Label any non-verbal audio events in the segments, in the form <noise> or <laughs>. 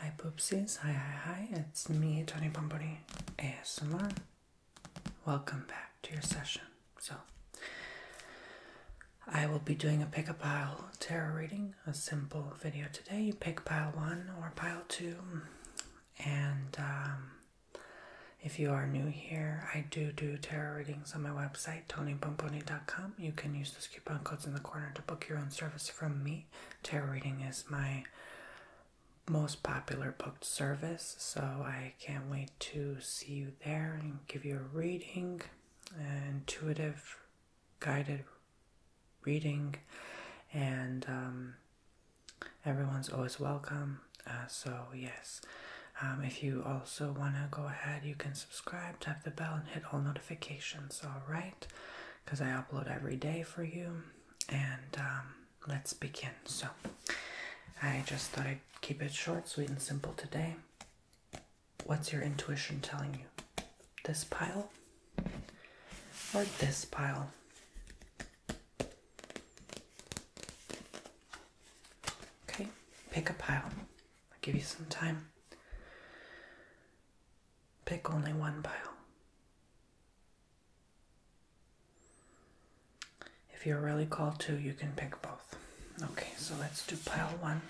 Hi poopsies, hi hi hi, it's me Tony Pomponi ASMR. Welcome back to your session. So, I will be doing a pick a pile tarot reading, a simple video today. pick pile one or pile two, and um, if you are new here, I do do tarot readings on my website, tonypomponi.com. You can use the coupon codes in the corner to book your own service from me. Tarot reading is my most popular booked service, so I can't wait to see you there and give you a reading, an intuitive, guided reading, and um, everyone's always welcome. Uh, so, yes, um, if you also want to go ahead, you can subscribe, tap the bell, and hit all notifications, alright? Because I upload every day for you. And um, let's begin. So, I just thought I'd keep it short, sweet, and simple today. What's your intuition telling you? This pile or this pile? Okay, pick a pile. I'll give you some time. Pick only one pile. If you're really called to, you can pick both. Okay, so let's do pile one.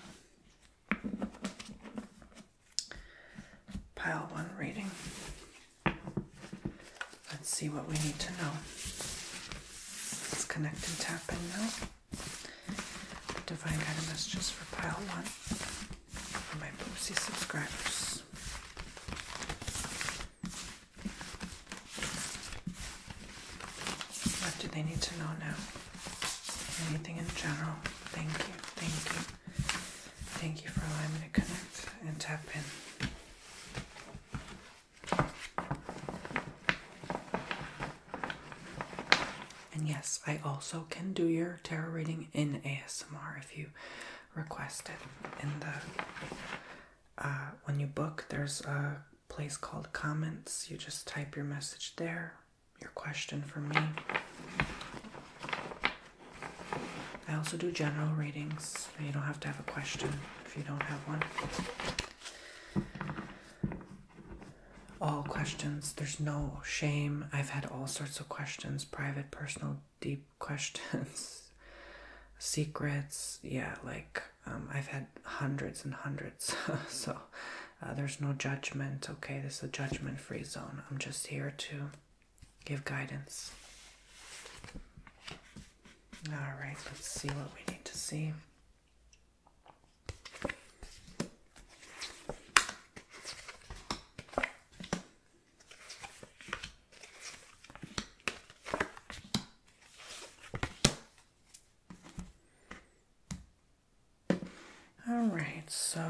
Pile one reading. Let's see what we need to know. Let's connect and tap in now. Divine Guided Messages for Pile 1 for my Boopsy subscribers. What do they need to know now? Anything in general? Thank you, thank you. Thank you for allowing me to connect and tap in. And yes, I also can do your tarot reading in ASMR if you request it. In the uh, when you book, there's a place called comments. You just type your message there, your question for me. I also do general readings. You don't have to have a question if you don't have one. All questions. There's no shame. I've had all sorts of questions private, personal, deep <laughs> questions, secrets. Yeah, like um, I've had hundreds and hundreds. <laughs> so uh, there's no judgment. Okay, this is a judgment free zone. I'm just here to give guidance. All right, let's see what we need to see. All right, so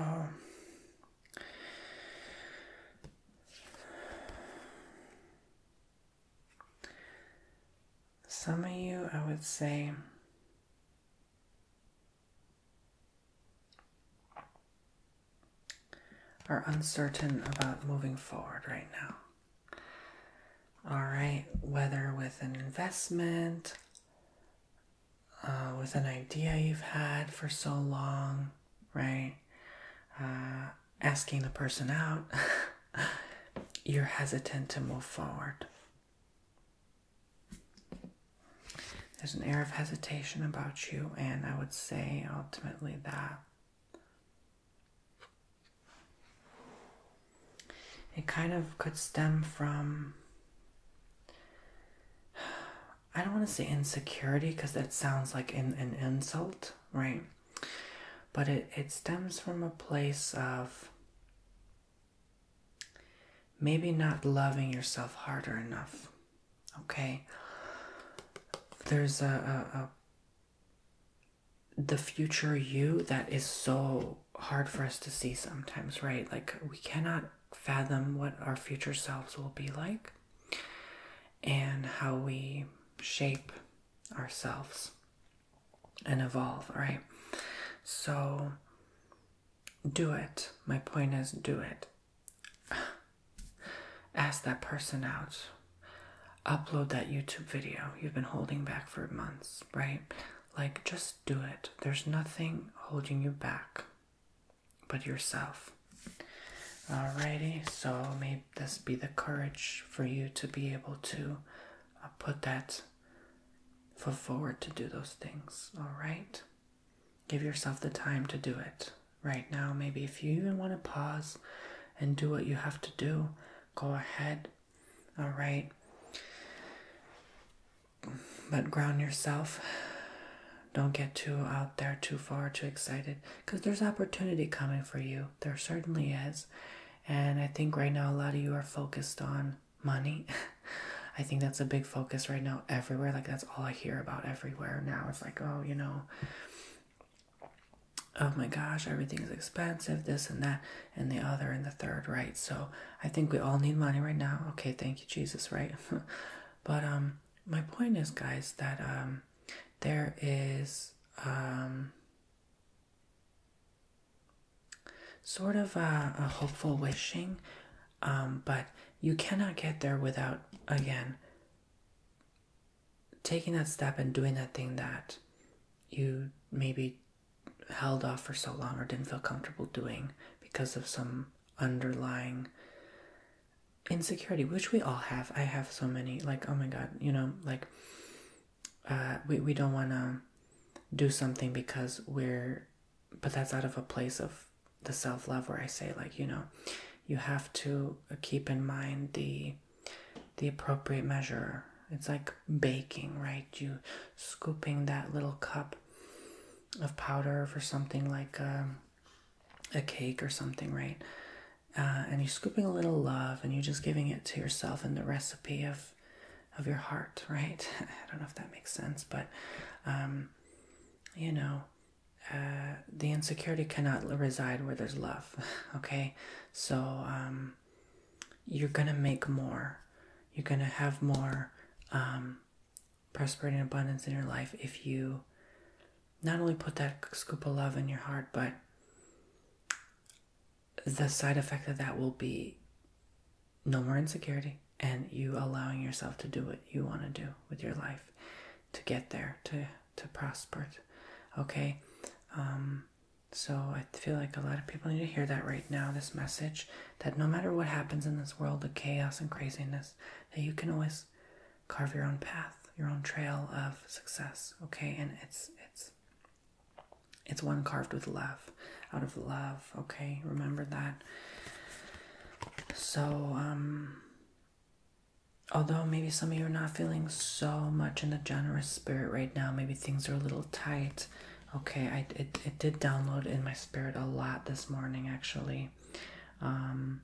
some of you, I would say, are uncertain about moving forward right now. All right, whether with an investment, uh, with an idea you've had for so long, right? Uh, asking the person out, <laughs> you're hesitant to move forward. There's an air of hesitation about you, and I would say ultimately that it kind of could stem from. I don't want to say insecurity because that sounds like an, an insult, right? But it, it stems from a place of maybe not loving yourself harder enough. Okay? There's a, a, a the future you that is so hard for us to see sometimes, right? Like we cannot fathom what our future selves will be like and how we shape ourselves and evolve, right? So do it. My point is, do it. <sighs> Ask that person out. Upload that YouTube video you've been holding back for months, right? Like, just do it. There's nothing holding you back but yourself. Alrighty, so may this be the courage for you to be able to uh, put that foot forward to do those things, alright? Give yourself the time to do it. Right now, maybe if you even want to pause and do what you have to do, go ahead. All right. But ground yourself. Don't get too out there, too far, too excited, because there's opportunity coming for you. There certainly is. And I think right now, a lot of you are focused on money. <laughs> I think that's a big focus right now everywhere. Like that's all I hear about everywhere now. It's like, oh, you know, oh my gosh, everything's expensive, this and that, and the other and the third, right? So I think we all need money right now. Okay, thank you, Jesus, right? <laughs> but um my point is guys that um there is um sort of a hopeful wishing um, but you cannot get there without, again, taking that step and doing that thing that you maybe held off for so long or didn't feel comfortable doing because of some underlying insecurity, which we all have. I have so many, like, oh my god, you know, like, uh, we, we don't want to do something because we're but that's out of a place of the self love where I say like you know you have to keep in mind the the appropriate measure it's like baking right you scooping that little cup of powder for something like a, a cake or something right uh, and you're scooping a little love and you're just giving it to yourself in the recipe of of your heart right <laughs> i don't know if that makes sense but um, you know, uh, the insecurity cannot reside where there's love. <laughs> Okay, so um, you're gonna make more. You're gonna have more um, prosperity and abundance in your life if you not only put that scoop of love in your heart, but the side effect of that will be no more insecurity and you allowing yourself to do what you want to do with your life to get there to to prosper okay um so i feel like a lot of people need to hear that right now this message that no matter what happens in this world the chaos and craziness that you can always carve your own path your own trail of success okay and it's it's it's one carved with love out of love okay? Remember that. So, um, although maybe some of you are not feeling so much in the generous spirit right now, maybe things are a little tight. Okay, I it, it did download in my spirit a lot this morning actually. Um,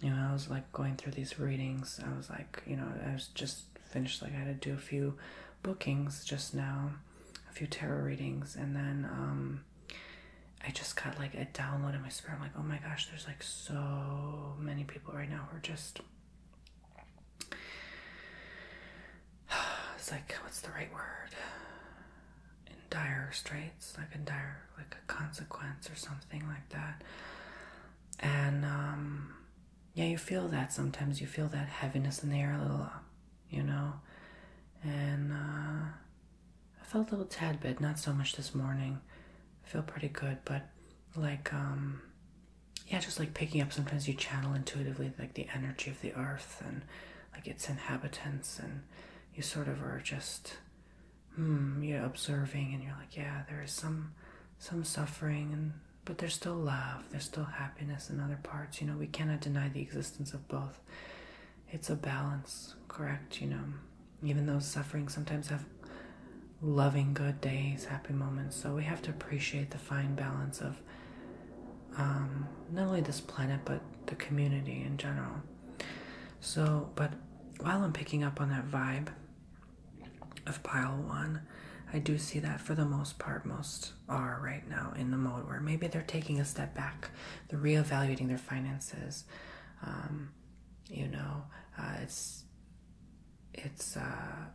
you know, I was like going through these readings. I was like, you know, I was just finished like I had to do a few bookings just now, a few tarot readings, and then um I just got like a download in my spirit. I'm like, oh my gosh, there's like so many people right now who are just <sighs> it's like what's the right word? In dire straits, like in dire like a consequence or something like that. And um yeah, you feel that sometimes you feel that heaviness in the air a little, you know. And uh I felt a little tad bit, not so much this morning. I feel pretty good, but like, um, yeah, just like picking up sometimes you channel intuitively like the energy of the earth and like its inhabitants, and you sort of are just, hmm, you're observing and you're like, yeah, there is some, some suffering and but there's still love, there's still happiness in other parts. You know, we cannot deny the existence of both it's a balance, correct? You know, even those suffering sometimes have loving good days, happy moments. So we have to appreciate the fine balance of um, not only this planet, but the community in general. So, but while I'm picking up on that vibe of pile one, I do see that for the most part, most are right now in the mode where maybe they're taking a step back they're reevaluating their finances. Um, you know, uh, it's it's uh,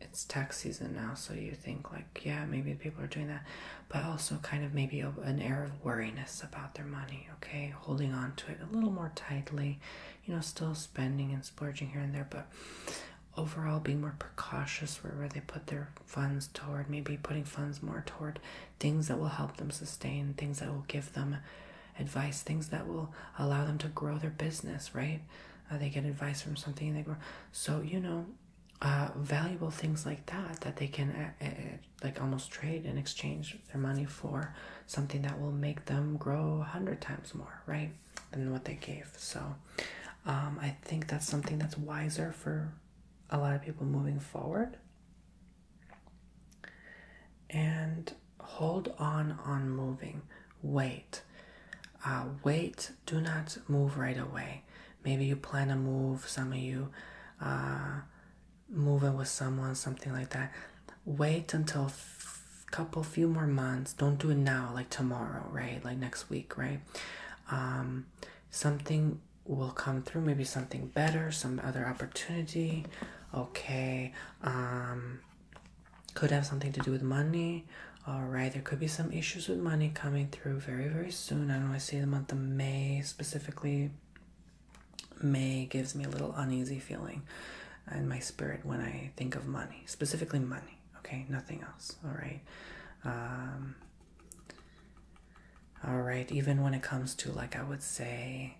it's tax season now, so you think like, yeah, maybe people are doing that, but also kind of maybe an air of wariness about their money. Okay, holding on to it a little more tightly. You know, still spending and splurging here and there, but overall being more precautious where, where they put their funds toward maybe putting funds more toward things that will help them sustain, things that will give them advice, things that will allow them to grow their business, right? Uh, they get advice from something they grow. So, you know, uh, valuable things like that that they can uh, like almost trade and exchange their money for something that will make them grow a hundred times more, right? Than what they gave. So, um, I think that's something that's wiser for a lot of people moving forward and hold on on moving wait uh, wait do not move right away maybe you plan to move some of you uh, moving with someone something like that wait until a couple few more months don't do it now like tomorrow right like next week right um, something will come through maybe something better some other opportunity okay um could have something to do with money all right there could be some issues with money coming through very very soon i don't know i see the month of may specifically may gives me a little uneasy feeling in my spirit when i think of money specifically money okay nothing else all right um all right, even when it comes to like I would say,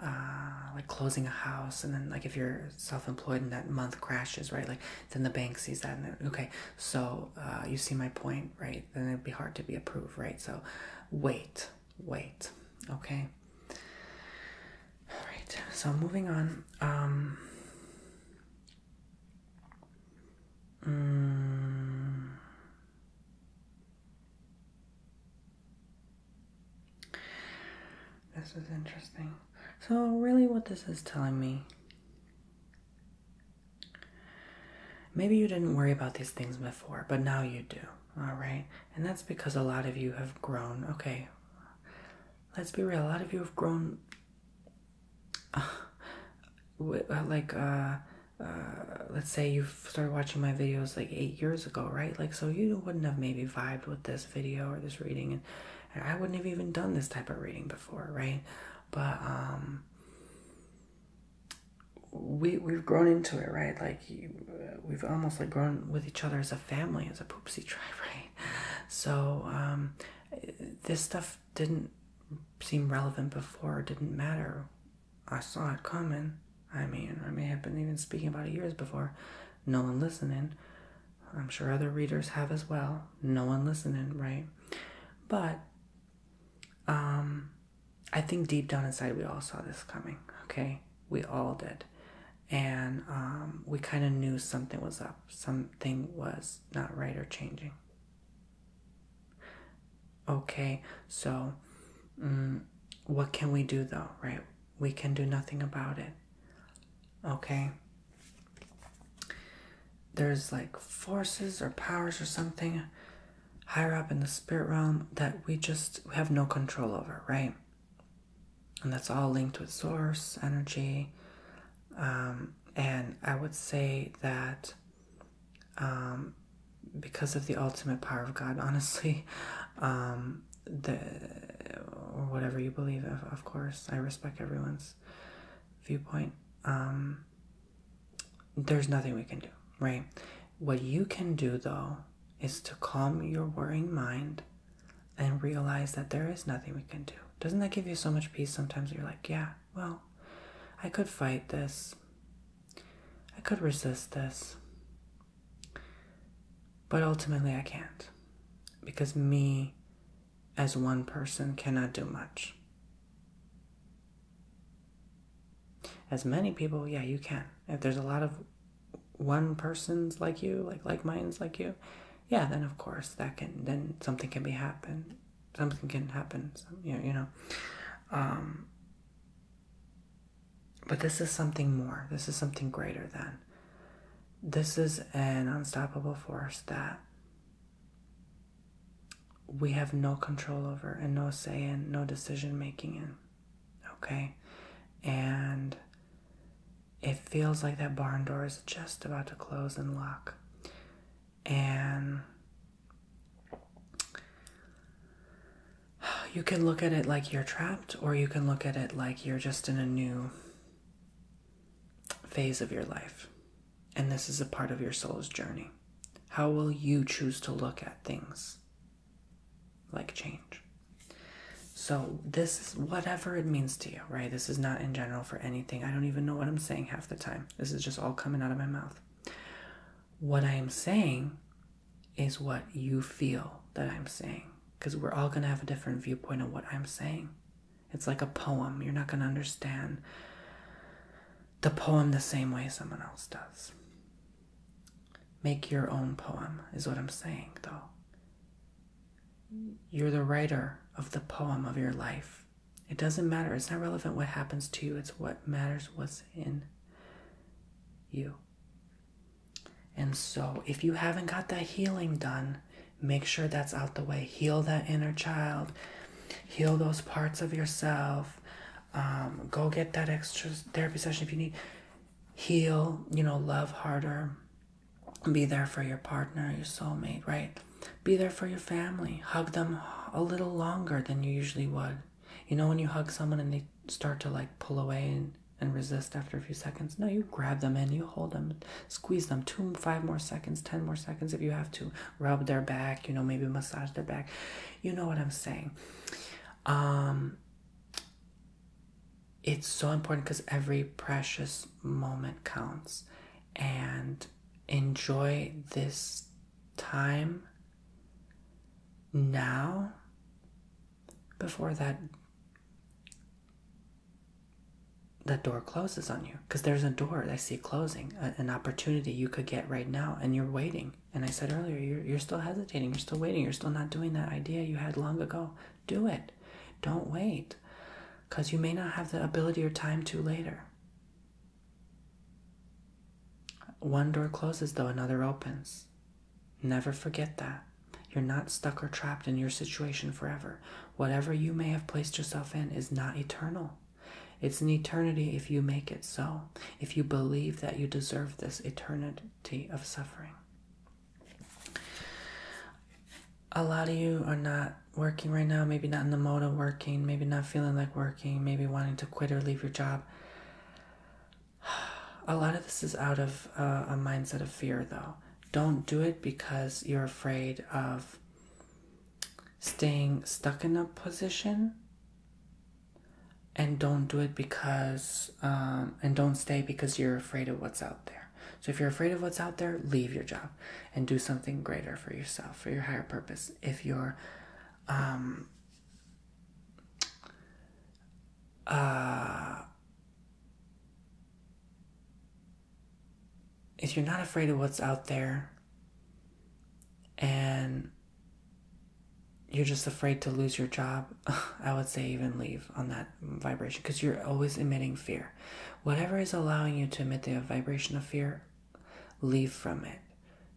uh, like closing a house, and then like if you're self-employed and that month crashes, right? Like then the bank sees that, and okay, so uh, you see my point, right? Then it'd be hard to be approved, right? So wait, wait, okay. All right, so moving on. Um, mm, this is interesting. So, really, what this is telling me maybe you didn't worry about these things before, but now you do, all right? And that's because a lot of you have grown. Okay, let's be real, a lot of you have grown <sighs> uh, like uh, uh, let's say you started watching my videos like eight years ago, right? Like, so you wouldn't have maybe vibed with this video or this reading, and, I wouldn't have even done this type of reading before, right? But um, we we've grown into it, right? Like uh, we've almost like grown with each other as a family, as a poopsie <laughs> tribe, right? So um, this stuff didn't seem relevant before, didn't matter I saw it coming. I mean, I may have been even speaking about it years before. No one listening. I'm sure other readers have as well. No one listening, right? But um, I think deep down inside, we all saw this coming, okay? We all did. And um, we kind of knew something was up, something was not right or changing. Okay, so mm, what can we do though, right? We can do nothing about it. Okay. There's like forces or powers or something higher up in the spirit realm that we just have no control over, right? And that's all linked with source, energy. Um, and I would say that um, because of the ultimate power of God, honestly. <laughs> Um, the, or whatever you believe, of, of course. I respect everyone's viewpoint. Um, there's nothing we can do, right? What you can do, though, is to calm your worrying mind and realize that there is nothing we can do. Doesn't that give you so much peace sometimes? You're like, yeah, well, I could fight this. I could resist this. But ultimately, I can't. Because me, as one person, cannot do much. As many people, yeah, you can. If there's a lot of one persons like you, like like minds like you, yeah, then of course that can, then something can be happen something can happen. you know, Um, but this is something more. This is something greater than. This is an unstoppable force that we have no control over and no say in, no decision making in. Okay? And it feels like that barn door is just about to close and lock. And you can look at it like you're trapped, or you can look at it like you're just in a new phase of your life. And this is a part of your soul's journey. How will you choose to look at things like change? So, this is whatever it means to you, right? This is not in general for anything. I don't even know what I'm saying half the time. This is just all coming out of my mouth what I am saying is what you feel that I'm saying. Because we're all going to have a different viewpoint of what I'm saying. It's like a poem. You're not going to understand the poem the same way someone else does. Make your own poem, is what I'm saying, though. You're the writer of the poem of your life. It doesn't matter. It's not relevant what happens to you, it's what matters what's in you. And so, if you haven't got that healing done, make sure that's out the way. Heal that inner child, heal those parts of yourself. Um, go get that extra therapy session if you need. Heal, you know, love harder. Be there for your partner, your soulmate, right? Be there for your family. Hug them a little longer than you usually would. You know when you hug someone and they start to like pull away and, and resist after a few seconds? No, you grab them and you hold them, squeeze them two, five more seconds, ten more seconds if you have to. Rub their back, you know, maybe massage their back. You know what I'm saying. Um, it's so important because every precious moment counts and enjoy this time now before that that door closes on you because there's a door that I see closing, an opportunity you could get right now, and you're waiting. And I said earlier, you're, you're still hesitating, you're still waiting, you're still not doing that idea you had long ago. Do it. Don't wait because you may not have the ability or time to later. One door closes, though another opens. Never forget that. You're not stuck or trapped in your situation forever. Whatever you may have placed yourself in is not eternal. It's an eternity if you make it so, if you believe that you deserve this eternity of suffering. A lot of you are not working right now, maybe not in the mode of working, maybe not feeling like working, maybe wanting to quit or leave your job. <sighs> A lot of this is out of uh, a mindset of fear, though. Don't do it because you're afraid of staying stuck in a position. And don't do it because, um, and don't stay because you're afraid of what's out there. So if you're afraid of what's out there, leave your job and do something greater for yourself, for your higher purpose. If you're um, uh, if you're not afraid of what's out there and you're just afraid to lose your job, <laughs> I would say even leave on that vibration because you're always emitting fear. Whatever is allowing you to emit the vibration of fear, leave from it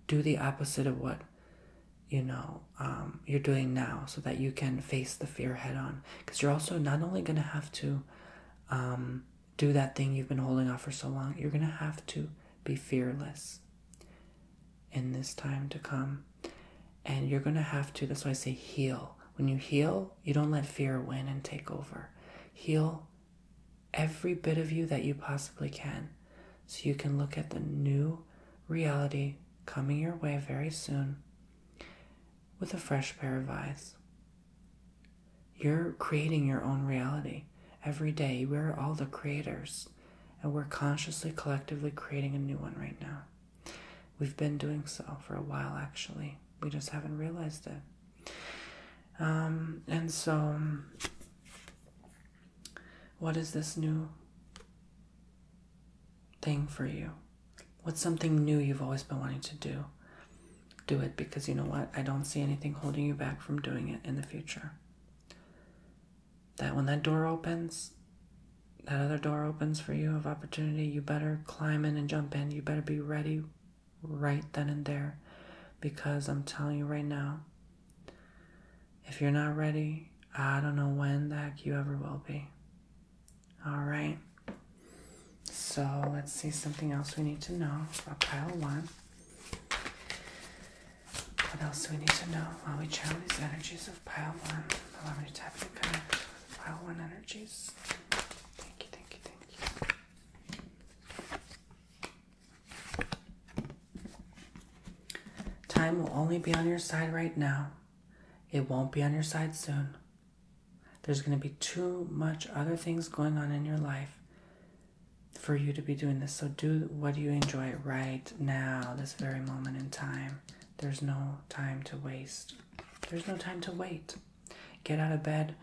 do the opposite of what you know um, you're doing now so that you can face the fear head on because you're also not only going to have to um, do that thing you've been holding off for so long you're going to have to be fearless in this time to come and you're going to have to that's why i say heal when you heal you don't let fear win and take over heal every bit of you that you possibly can so you can look at the new reality coming your way very soon with a fresh pair of eyes. You're creating your own reality every day. We're all the creators, and we're consciously, collectively creating a new one right now. We've been doing so for a while, actually. We just haven't realized it. Um, and so what is this new thing for you? What's something new you've always been wanting to do? Do it because you know what? I don't see anything holding you back from doing it in the future. That when that door opens, that other door opens for you of opportunity, you better climb in and jump in. You better be ready right then and there because I'm telling you right now, if you're not ready, I don't know when the heck you ever will be. All right. So let's see something else we need to know about pile one. What else do we need to know while we channel these energies of pile one? Allow me to tap and connect pile one energies. Thank you, thank you, thank you. Time will only be on your side right now. It won't be on your side soon. There's going to be too much other things going on in your life for you to be doing this. So do what you enjoy right now, this very moment in time. There's no time to waste. There's no time to wait. Get out of bed,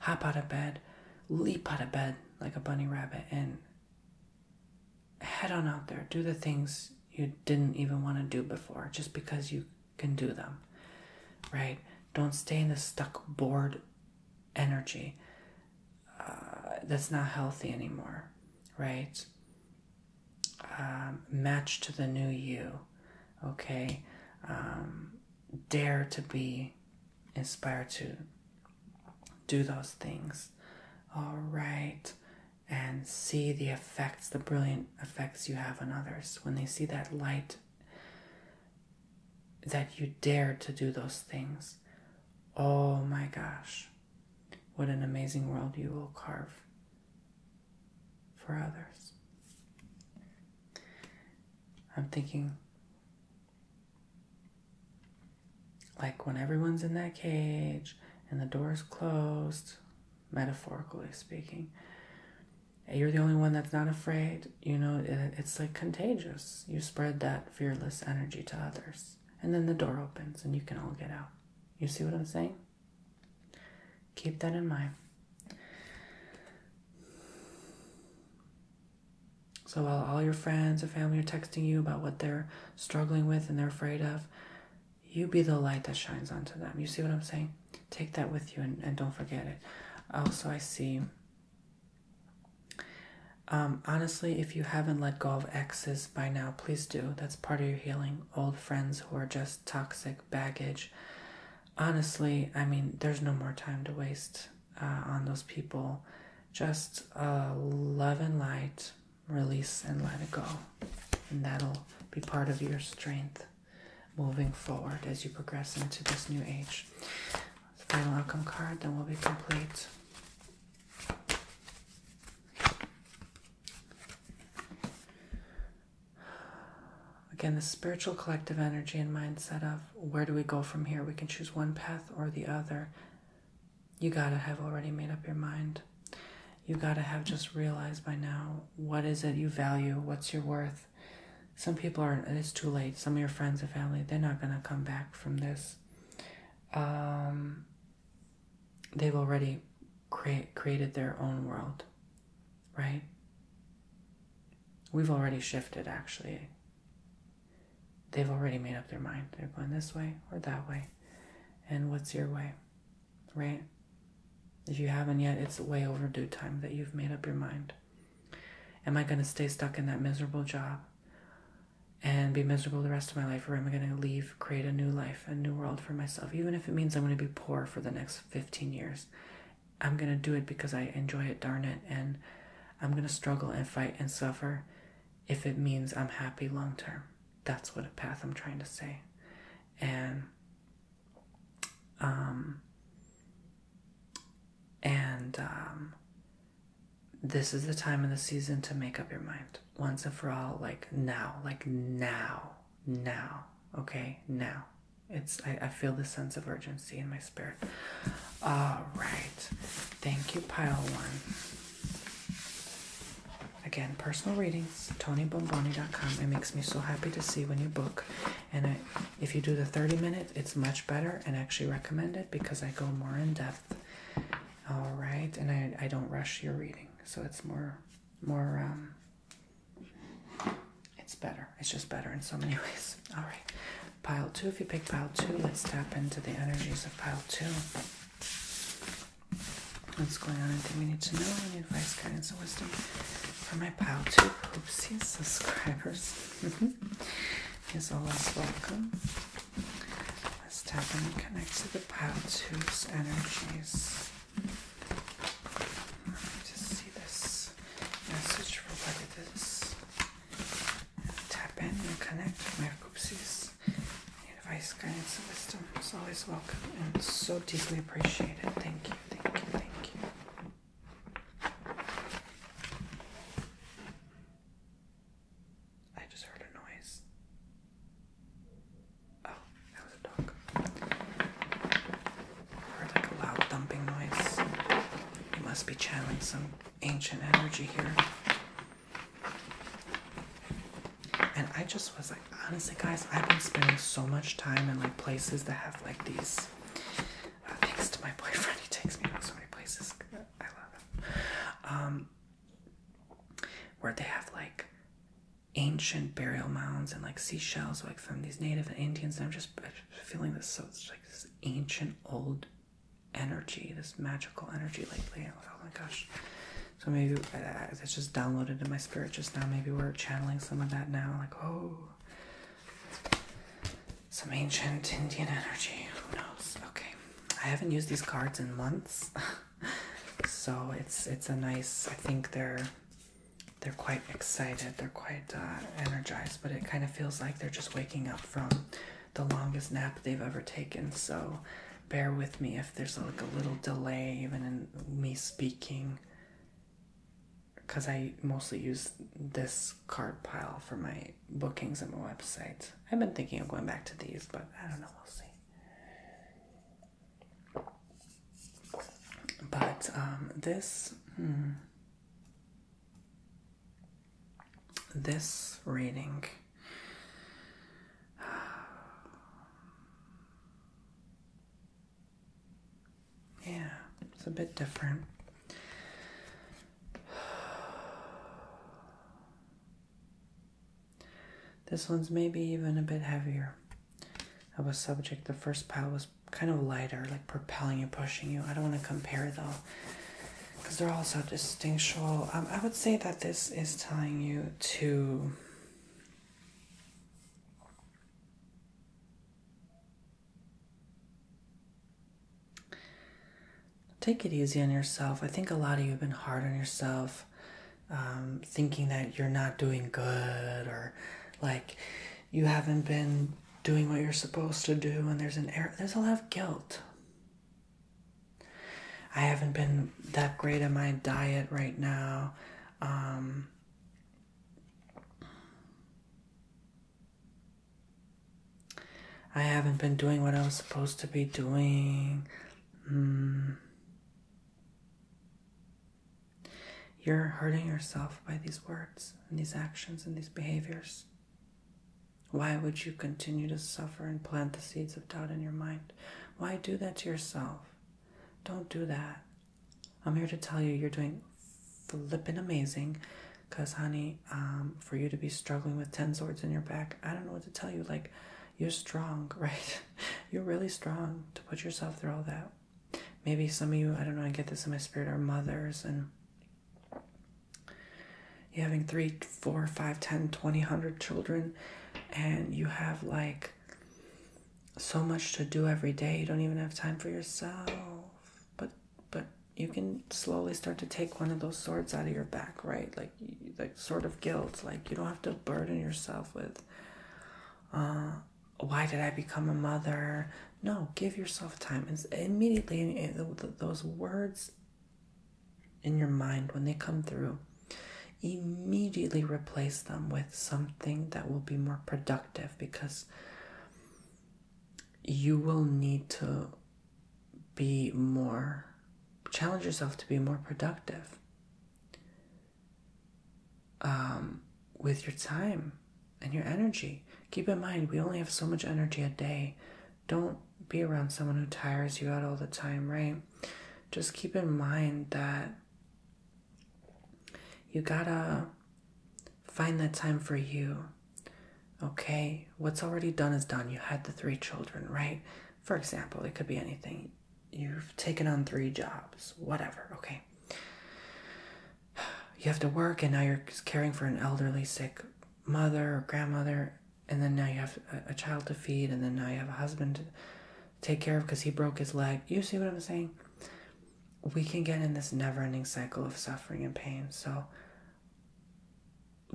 hop out of bed, leap out of bed like a bunny rabbit and head on out there, do the things you didn't even want to do before just because you can do them, right? Don't stay in the stuck, bored energy uh, that's not healthy anymore, right? Um, match to the new you, okay? Um, dare to be inspired to do those things. All right. And see the effects, the brilliant effects you have on others. When they see that light, that you dared to do those things. Oh my gosh. What an amazing world you will carve for others. I'm thinking like when everyone's in that cage and the door is closed, metaphorically speaking, you're the only one that's not afraid. You know, it's like contagious. You spread that fearless energy to others. And then the door opens and you can all get out. You see what I'm saying? Keep that in mind. So while all your friends and family are texting you about what they're struggling with and they're afraid of, you be the light that shines onto them. You see what I'm saying? Take that with you and, don't forget it. Also, I see. Um, honestly, if you haven't let go of exes by now, please do. That's part of your healing. Old friends who are just toxic baggage. Honestly, I mean, there's no more time to waste. Uh, on those people. Just love and light, release and let it go. And that'll be part of your strength moving forward as you progress into this new age. Final outcome card, then we'll be complete. Again, the spiritual collective energy and mindset of where do we go from here? We can choose one path or the other you gotta have already made up your mind. You gotta have just realized by now what is it you value, what's your worth. Some people are, it's too late. Some of your friends and family, they're not gonna come back from this. Um, they've already create, created their own world, right? We've already shifted, actually they've already made up their mind. They're going this way or that way. And what's your way? Right? If you haven't yet, it's way overdue time that you've made up your mind. Am I going to stay stuck in that miserable job and be miserable the rest of my life, or am I going to leave, create a new life, a new world for myself? Even if it means I'm going to be poor for the next 15 years, I'm going to do it because I enjoy it, darn it, and I'm going to struggle and fight and suffer if it means I'm happy long term. That's what a path I'm trying to say. And um and um this is the time in the season to make up your mind once and for all like now like now now okay now it's I, I feel the sense of urgency in my spirit all right thank you pile one Again, personal readings, TonyBomboni.com. It makes me so happy to see when you book. And if you do the 30 minutes, it's much better and actually recommended because I go more in depth. All right, and I, I don't rush your reading, so it's more, more, um, it's better. It's just better in so many <laughs> ways. All right, pile two. If you pick pile two, let's tap into the energies of pile two. What's going on? Anything we need to know? We need advice, guidance, and wisdom for my pile too. Oopsies, subscribers. Mm-hmm. is always welcome. Let's tap in and connect to the pile two's energies. Let me just see this message for what it is tap in and connect with Micropsy's advice, guidance, and wisdom is always welcome and so deeply appreciated. Thank you, thank you, thank you. I just heard a noise. Oh, that was a dog. I heard like a loud thumping noise. It must be channeling some ancient energy here. And I just was like, honestly, guys, I've been spending so much time in like places that have like these. Uh, thanks to my <laughs> boyfriend, he takes me to so many places. I love him. Um, where they have like ancient burial mounds and like seashells, like from these native Indians. And I'm just feeling this so it's like this ancient old energy, this magical energy lately. oh my gosh. So maybe it's just downloaded in my spirit just now. Maybe we're channeling some of that now. Like, oh, some ancient Indian energy. Who knows? Okay. I haven't used these cards in months. <laughs> so it's it's a nice I think they're they're quite excited, they're quite uh, energized, but it kind of feels like they're just waking up from the longest nap they've ever taken. So bear with me if there's like a little delay even in me speaking because I mostly use this card pile for my bookings and my website. I've been thinking of going back to these, but I don't know, we'll see. But um, this, hmm this reading yeah it's a bit different this one's maybe even a bit heavier of a subject the first pile was kind of lighter like propelling you pushing you i don't want to compare though because they're all so distinctual. Um, I would say that this is telling you to. Take it easy on yourself. I think a lot of you have been hard on yourself, um, thinking that you're not doing good or like you haven't been doing what you're supposed to do and there's an error there's a lot of guilt I haven't been that great at my diet right now. Um, I haven't been doing what I was supposed to be doing. Hmm. You're hurting yourself by these words and these actions and these behaviors. Why would you continue to suffer and plant the seeds of doubt in your mind? Why do that to yourself? Don't do that. I'm here to tell you you're doing flipping amazing because, honey, um, for you to be struggling with 10 swords in your back, I don't know what to tell you. Like, you're strong, <laughs> right? you're really strong to put yourself through all that. Maybe some of you, I don't know, I get this in my spirit, are mothers and you're having three, four, five, ten, twenty, hundred children, and you have like so much to do every day. You don't even have time for yourself. But but you can slowly start to take one of those swords out of your back, right? Like like sort of guilt. Like you don't have to burden yourself with. Uh, why did I become a mother? No, give yourself time. And immediately, eh, those words in your mind when they come through, immediately replace them with something that will be more productive because you will need to be more, challenge yourself to be more productive um, with your time and your energy. Keep in mind, we only have so much energy a day don't be around someone who tires you out all the time, right? Just keep in mind that you gotta find that time for you. Okay, what's already done is done. You had the three children, right? For example, it could be anything. You've taken on three jobs, whatever, okay? <sighs> You have to work, and now you're caring for an elderly, sick mother or grandmother and then now you have a, child to feed, and then now you have a husband to take care of because he broke his leg. You see what I'm saying? We can get in this never ending cycle of suffering and pain. So,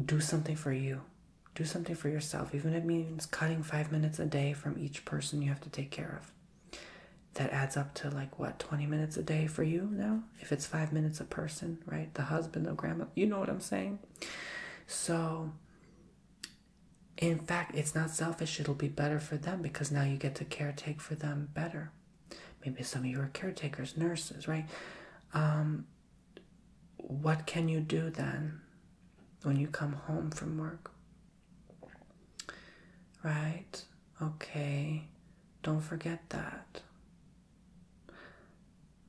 do something for you. Do something for yourself, even if it means cutting five minutes a day from each person you have to take care of that adds up to like what 20 minutes a day for you now if it's five minutes a person right the husband the grandma you know what i'm saying so, in fact, it's not selfish, it'll be better for them because now you get to caretake for them better. Maybe some of you are caretakers, nurses, right? Um, what can you do then when you come home from work? Right? Okay. Don't forget that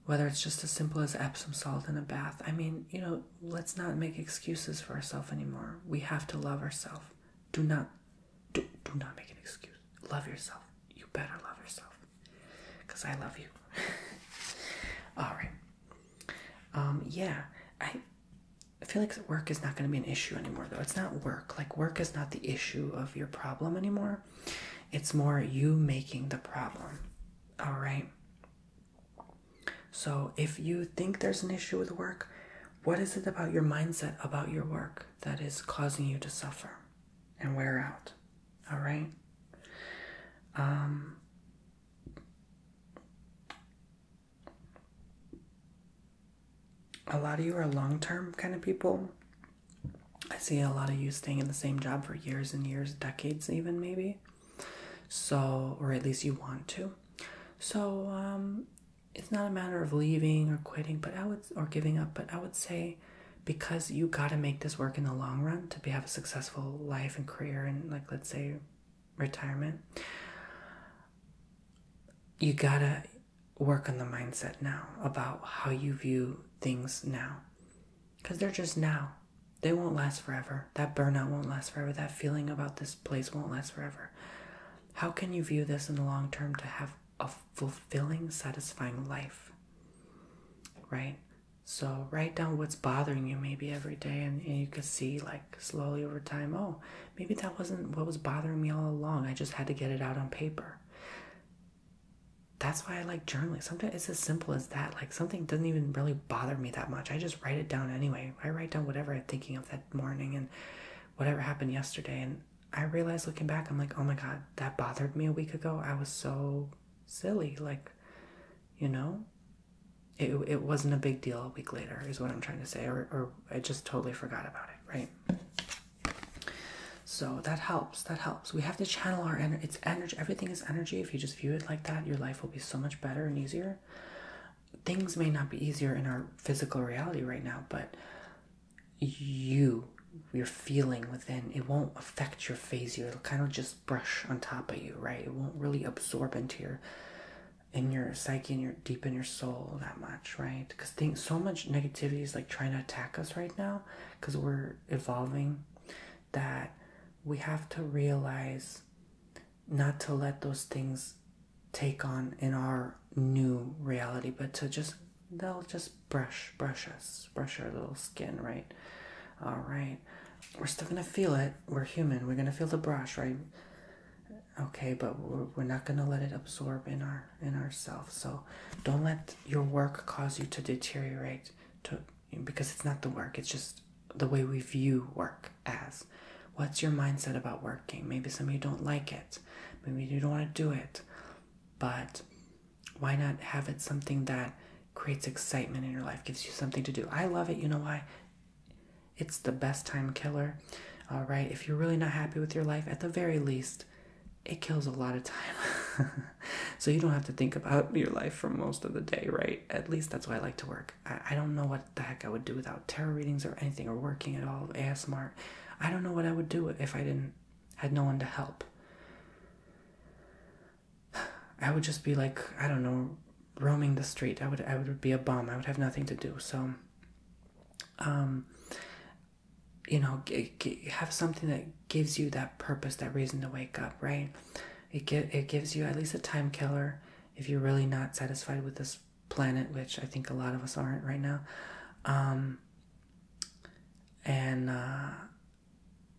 whether it's just as simple as Epsom salt in a bath. I mean, you know, let's not make excuses for ourselves anymore. We have to love ourselves. Do not, do, do not make an excuse. Love yourself. You better love yourself. Because I love you. <laughs> All right. Um, yeah, I, I feel like work is not going to be an issue anymore, though. It's not work. Like, work is not the issue of your problem anymore. It's more you making the problem all right. So, if you think there's an issue with work, what is it about your mindset about your work that is causing you to suffer and wear out? All right. Um, a lot of you are long term kind of people. I see a lot of you staying in the same job for years and years, decades, even maybe. So, or at least you want to. So, um, it's not a matter of leaving or quitting, but I would, or giving up, but I would say because you got to make this work in the long run to be, have a successful life and career and, like, let's say retirement, you got to work on the mindset now about how you view things now because they're just now. They won't last forever. That burnout won't last forever. That feeling about this place won't last forever. How can you view this in the long term to have a fulfilling, satisfying life? Right? So write down what's bothering you maybe every day and, you can see like slowly over time, oh, maybe that wasn't what was bothering me all along. I just had to get it out on paper that's why I like journaling. Sometimes it's as simple as that. Like something doesn't even really bother me that much. I just write it down anyway. I write down whatever I'm thinking of that morning and whatever happened yesterday. And I realize looking back, I'm like, oh my God, that bothered me a week ago. I was so silly. Like, you know, it, it wasn't a big deal a week later, is what I'm trying to say. or I just totally forgot about it, right? So that helps. That helps. So We have to channel our energy. It's energy. Everything is energy. If you just view it like that, your life will be so much better and easier. Things may not be easier in our physical reality right now, but you, your feeling within, it won't affect your phasio. It'll kind of just brush on top of you, right? It won't really absorb into your in your psyche and your deep in your soul that much, right? Because things so much negativity is like trying to attack us right now because we're evolving that we have to realize not to let those things take on in our new reality, but to just they'll just brush, brush us, brush our little skin, right? All right, we're still gonna feel it. We're human. We're gonna feel the brush, right? Okay, but we're, we're not gonna let it absorb in our in ourselves. So don't let your work cause you to deteriorate, to because it's not the work, it's just the way we view work as. What's your mindset about working? Maybe some of you don't like it, maybe you don't want to do it, but why not have it something that creates excitement in your life, gives you something to do? I love it, you know why? It's the best time killer. All right, if you're really not happy with your life, at the very least, it kills a lot of time. <laughs> <laughs> so you don't have to think about your life for most of the day, right? At least that's why I like to work. I, don't know what the heck I would do without tarot readings or anything or working at all, Asmart, I don't know what I would do if I didn't had no one to help. <sighs> I would just be like, I don't know, roaming the street. I would I would be a bum. I would have nothing to do. So um you know, have something that gives you that purpose, that reason to wake up, right? it get, it gives you at least a time killer if you're really not satisfied with this planet, which I think a lot of us aren't right now. Um, and uh,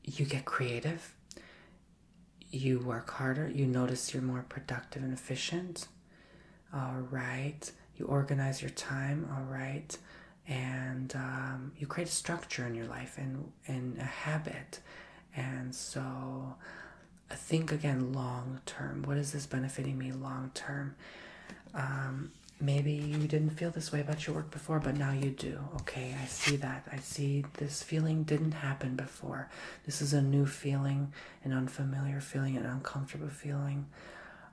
you get creative. You work harder. You notice you're more productive and efficient. All right. You organize your time. All right. And um, you create a structure in your life. And and a habit. And so I think again long term. What is this benefiting me long term? Um, maybe you didn't feel this way about your work before, but now you do. Okay, I see that. I see this feeling didn't happen before. This is a new feeling, an unfamiliar feeling, an uncomfortable feeling.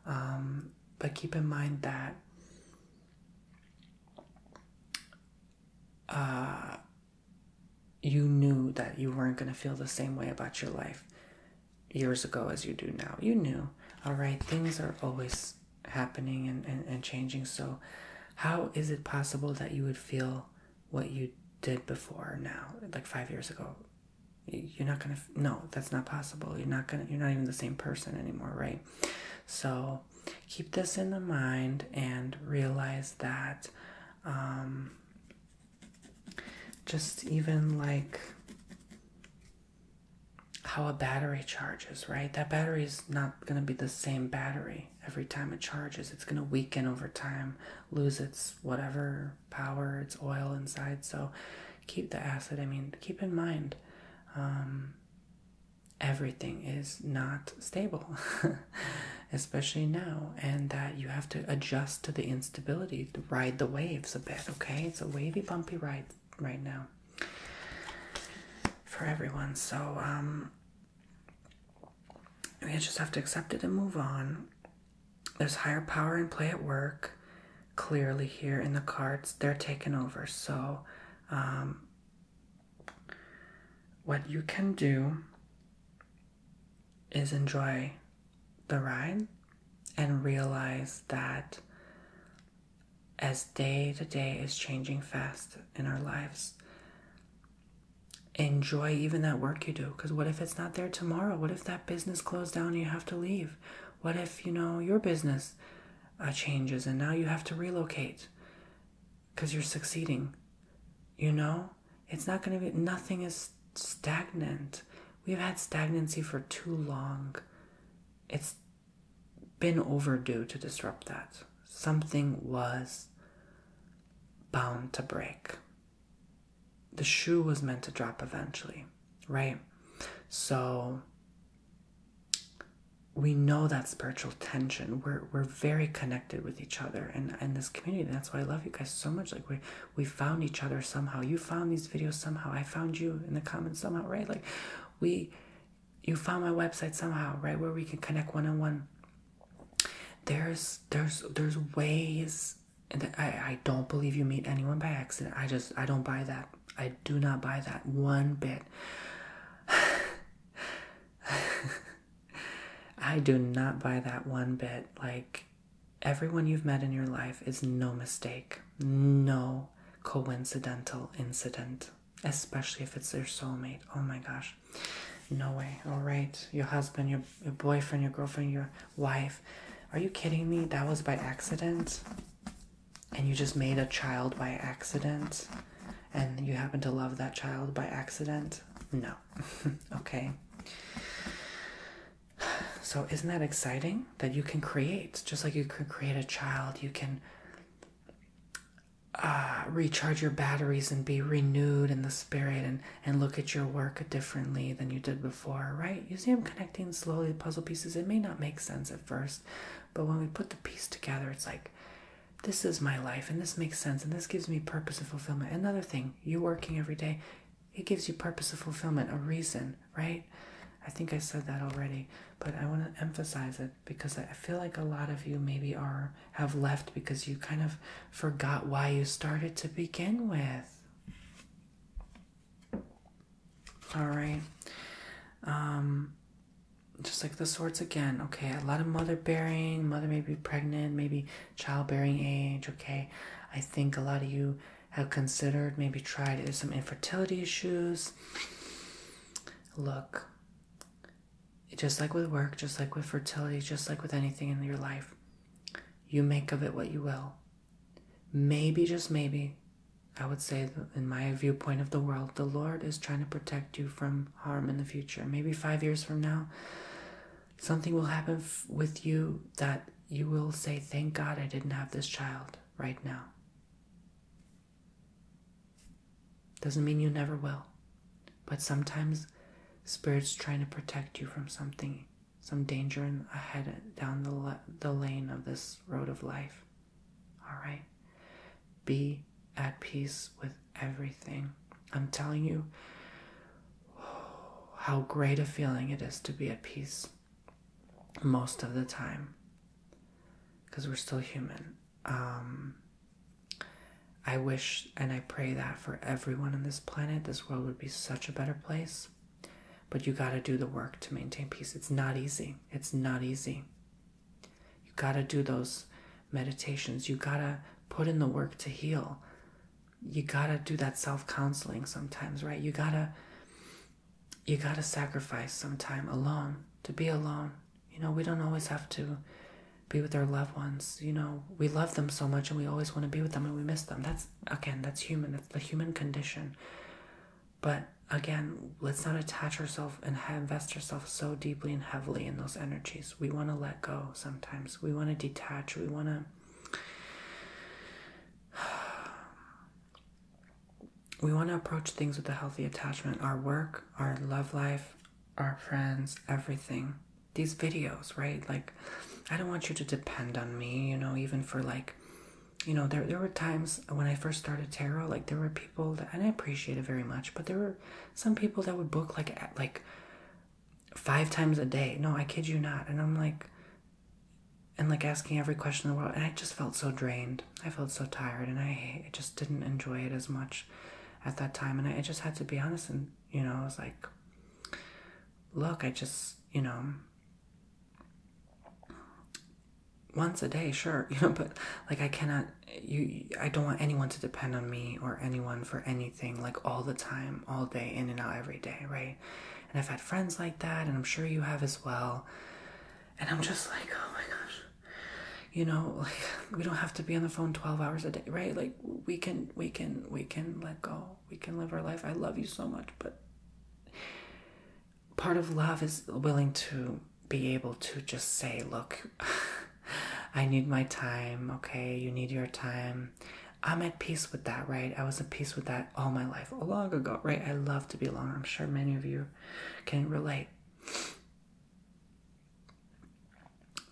Um, but keep in mind that uh, you knew that you weren't going to feel the same way about your life years ago as you do now. You knew, all right, things are always happening and, and, and changing. So, how is it possible that you would feel what you did before now, like five years ago? You're not gonna, no, that's not possible. You're not gonna, you're not even the same person anymore, right? So, keep this in the mind and realize that um, just even like how a battery charges, right? That battery is not going to be the same battery every time it charges. It's going to weaken over time, lose its whatever power, its oil inside. So keep the acid, I mean, keep in mind. Um, everything is not stable, <laughs> especially now, and that you have to adjust to the instability, ride the waves a bit, okay? It's a wavy, bumpy ride right now for everyone. So, um, we just have to accept it and move on. There's higher power in play at work. Clearly, here in the cards, they're taken over. So, um, what you can do is enjoy the ride and realize that as day to day is changing fast in our lives, enjoy even that work you do. Because what if it's not there tomorrow? What if that business closed down and you have to leave? What if, you know, your business uh, changes and now you have to relocate? because you're succeeding. You know, it's not going to be, nothing is stagnant. We've had stagnancy for too long. It's been overdue to disrupt that. Something was bound to break. The shoe was meant to drop eventually, right? So we know that spiritual tension. We're we're very connected with each other and and this community. That's why I love you guys so much. Like we we found each other somehow. You found these videos somehow. I found you in the comments somehow, right? Like we you found my website somehow, right? Where we can connect one on one. There's there's there's ways and I, I don't believe you meet anyone by accident. I just I don't buy that. I do not buy that one bit. <sighs> <laughs> <laughs> I do not buy that one bit. Like, everyone you've met in your life is no mistake, no coincidental incident, especially if it's your soulmate. Oh my gosh. No way. All right. Your husband, your, your boyfriend, your girlfriend, your wife. Are you kidding me? That was by accident? And you just made a child by accident? and you happen to love that child by accident? No. <laughs> okay. So, isn't that exciting that you can create? Just like you can create a child, you can uh, recharge your batteries and be renewed in the spirit and, and look at your work differently than you did before, right? You see, I'm connecting slowly the puzzle pieces. It may not make sense at first, but when we put the piece together, it's like this is my life and this makes sense and this gives me purpose and fulfillment. Another thing, you working every day, it gives you purpose and fulfillment, a reason, right? I think I said that already, but I want to emphasize it because I feel like a lot of you maybe are have left because you kind of forgot why you started to begin with. All right. Um, just like the swords again, okay, a lot of mother bearing, mother may be pregnant, maybe childbearing age, okay. I think a lot of you have considered, maybe tried some infertility issues. Look, just like with work, just like with fertility, just like with anything in your life, you make of it what you will. Maybe, just maybe, I would say, in my viewpoint of the world, the Lord is trying to protect you from harm in the future maybe 5 years from now something will happen with you that you will say thank god i didn't have this child right now doesn't mean you never will but sometimes spirits trying to protect you from something some danger ahead down the the lane of this road of life all right be at peace with everything. I'm telling you how great a feeling it is to be at peace most of the time because we're still human. Um, I wish and I pray that for everyone on this planet, this world would be such a better place. But you got to do the work to maintain peace. It's not easy. It's not easy. You got to do those meditations. You got to put in the work to heal. You got to do that self-counseling sometimes, right? You got to you got to sacrifice some time alone to be alone. You know, we don't always have to be with our loved ones. You know, we love them so much and we always want to be with them and we miss them. That's again, that's human. That's the human condition. But again, let's not attach ourselves and invest ourselves so deeply and heavily in those energies. We want to let go sometimes. We want to detach. We want to. <sighs> We want to approach things with a healthy attachment our work, our love life, our friends, everything. These videos, right? Like, I don't want you to depend on me, you know, even for like, you know, there, there were times when I first started tarot, like, there were people that, I appreciate it very much, but there were some people that would book like like five times a day. No, I kid you not. And I'm like, and like asking every question in the world. And I just felt so drained. I felt so tired, and I, just didn't enjoy it as much at that time. And I just had to be honest, and you know, I was like, look, I just you know once a day, sure, <laughs> you know, but like I cannot you I don't want anyone to depend on me or anyone for anything like all the time, all day, in and out every day, right? And I've had friends like that and I'm sure you have as well. And I'm just like, oh my gosh. You know, <laughs> like we don't have to be on the phone 12 hours a day, right? Like we can we can we can let go. We can live our life. I love you so much, but part of love is willing to be able to just say, look, <laughs> I need my time, okay? You need your time. I'm at peace with that, right? I was at peace with that all my life, a long ago, right? I love to be alone. I'm sure many of you can relate.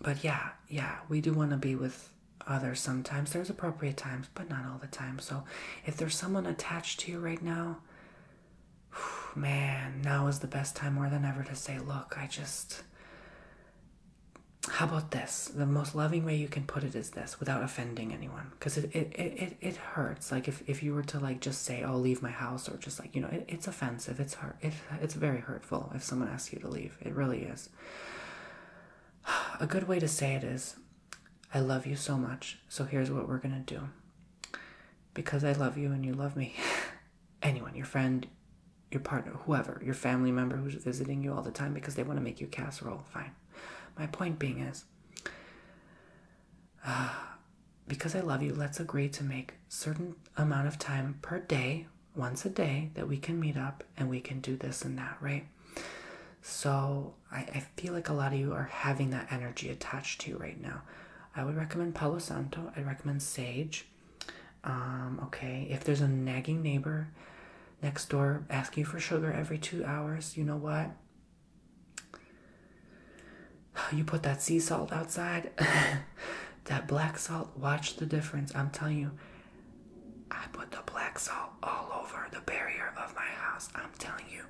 But yeah, yeah, we do want to be with others sometimes. There's appropriate times, but not all the time. So if there's someone attached to you right now, <sighs> man, now is the best time more than ever to say, look, I just, how about this? The most loving way you can put it is this without offending anyone. Because it, it, it, it hurts. Like if, if you were to like just say, oh, leave my house or just like, you know, it, it's offensive. It's hurt. It, it's very hurtful if someone asks you to leave. It really is. <sighs> A good way to say it is, I love you so much. So here's what we're going to do. Because I love you and you love me. <laughs> anyone, your friend, your partner, whoever, your family member who's visiting you all the time because they want to make you casserole, fine. My point being is, uh, because I love you, let's agree to make certain amount of time per day, once a day, that we can meet up and we can do this and that, right? So I, I feel like a lot of you are having that energy attached to you right now. I would recommend Palo Santo. I'd recommend sage. Um, okay, if there's a nagging neighbor next door asking you for sugar every two hours, you know what? <sighs> You put that sea salt outside, <laughs> that black salt, watch the difference. I'm telling you, I put the black salt all over the barrier of my house. I'm telling you,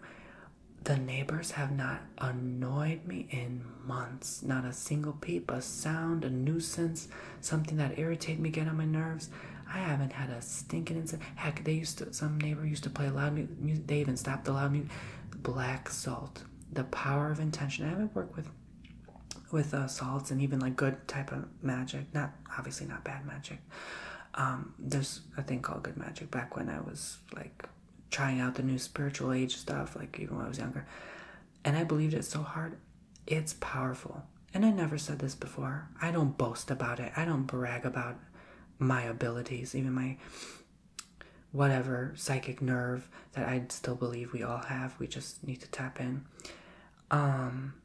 the neighbors have not annoyed me in months. Not a single peep, a sound, a nuisance, something that irritated me, get on my nerves. I haven't had a stinking incident. Heck, they used to, some neighbor used to play loud mu music. They even stopped the loud music. Black salt, the power of intention. I haven't worked with with uh, salts and even like good type of magic. Not obviously not bad magic. Um, there's a thing called good magic. Back when I was like trying out the new spiritual age stuff, like even when I was younger, and I believed it so hard. It's powerful. And I never said this before. I don't boast about it. I don't brag about my abilities, even my whatever psychic nerve that I still believe we all have. We just need to tap in. Um,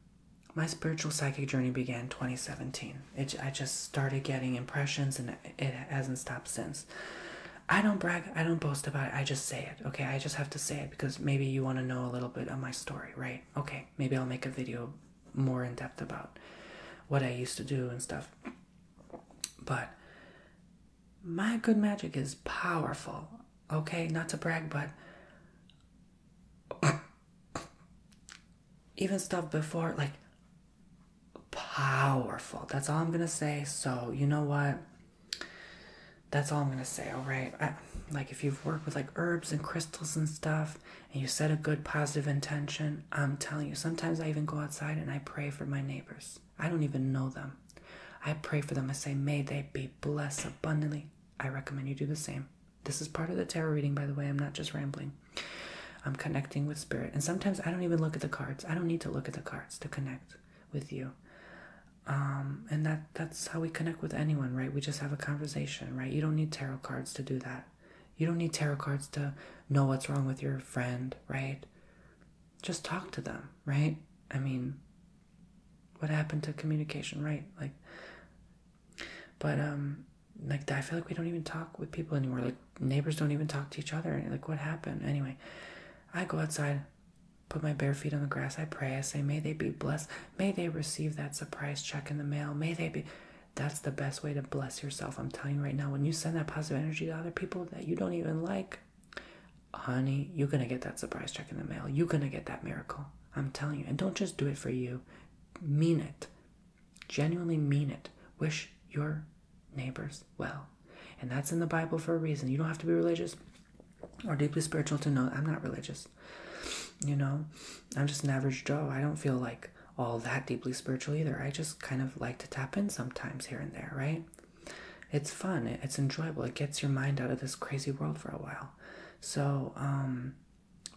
my spiritual psychic journey began 2017. It, I just started getting impressions and it hasn't stopped since. I don't brag, I don't boast about it, I just say it, okay? I just have to say it because maybe you want to know a little bit of my story, right? Okay, maybe I'll make a video more in depth about what I used to do and stuff. But my good magic is powerful, okay? Not to brag, but <coughs> even stuff before, like powerful. That's all I'm gonna say. So, you know what? that's all I'm gonna say. All right, like if you've worked with like herbs and crystals and stuff, and you set a good positive intention, I'm telling you. Sometimes I even go outside and I pray for my neighbors. I don't even know them. I pray for them. I say, may they be blessed abundantly. I recommend you do the same. This is part of the tarot reading, by the way. I'm not just rambling. I'm connecting with spirit, and sometimes I don't even look at the cards. I don't need to look at the cards to connect with you um, and that that's how we connect with anyone right we just have a conversation right you don't need tarot cards to do that you don't need tarot cards to know what's wrong with your friend right just talk to them right i mean what happened to communication right like but um like i feel like we don't even talk with people anymore like neighbors don't even talk to each other like what happened anyway i go outside Put my bare feet on the grass. I pray. I say, May they be blessed. May they receive that surprise check in the mail. May they be. That's the best way to bless yourself. I'm telling you right now, when you send that positive energy to other people that you don't even like, honey, you're going to get that surprise check in the mail. You're going to get that miracle. I'm telling you. And don't just do it for you, mean it. Genuinely mean it. Wish your neighbors well. And that's in the Bible for a reason. You don't have to be religious or deeply spiritual to know I'm not religious. You know, I'm just an average Joe. I don't feel like all that deeply spiritual either. I just kind of like to tap in sometimes here and there, right? It's fun, it's enjoyable, it gets your mind out of this crazy world for a while. So, um,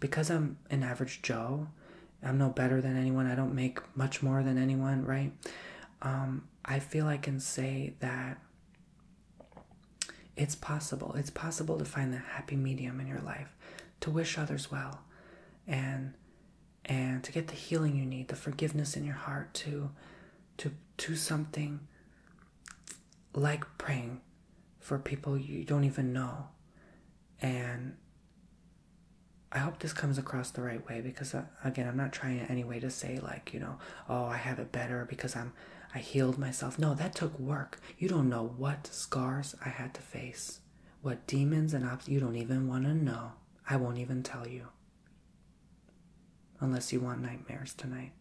because I'm an average Joe, I'm no better than anyone, I don't make much more than anyone, right? Um, I feel I can say that it's possible. It's possible to find the happy medium in your life, to wish others well, and and to get the healing you need, the forgiveness in your heart, to to do something like praying for people you don't even know. And I hope this comes across the right way because uh, again i'm not trying in any way to say like you know oh i have it better because i'm i healed myself no that took work you don't know what scars i had to face what demons and ops you don't even want to know i won't even tell you unless you want nightmares tonight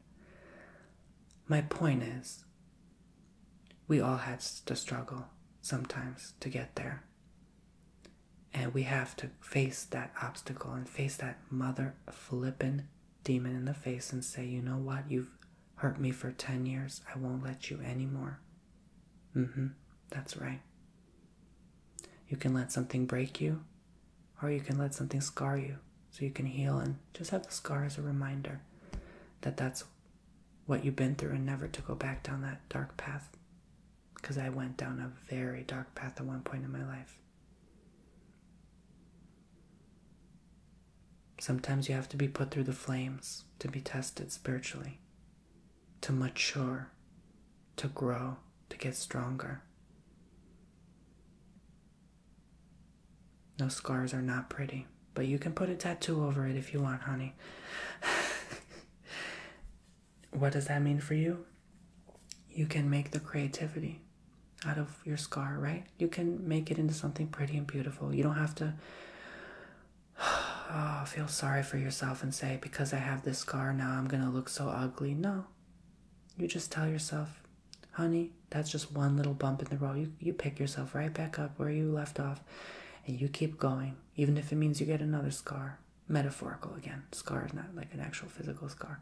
my point is we all had to struggle sometimes to get there and we have to face that obstacle and face that mother another flippin' demon in the face and say, you know what, you've hurt me for 10 years, I won't let you anymore. Mm hmm, that's right. You can let something break you, or you can let something scar you so you can heal and just have the scar as a reminder that that's what you've been through and never to go back down that dark path. Because I went down a very dark path at one point in my life. Sometimes you have to be put through the flames to be tested spiritually, to mature, to grow, to get stronger. No scars are not pretty, but you can put a tattoo over it if you want, honey. <laughs> what does that mean for you? you can make the creativity out of your scar, right? You can make it into something pretty and beautiful. You don't have to <sighs> oh, feel sorry for yourself and say, because I have this scar, now I'm going to look so ugly. No. You just tell yourself, honey, that's just one little bump in the road. You, you pick yourself right back up where you left off and you keep going, even if it means you get another scar. Metaphorical again. Scar is not like an actual physical scar.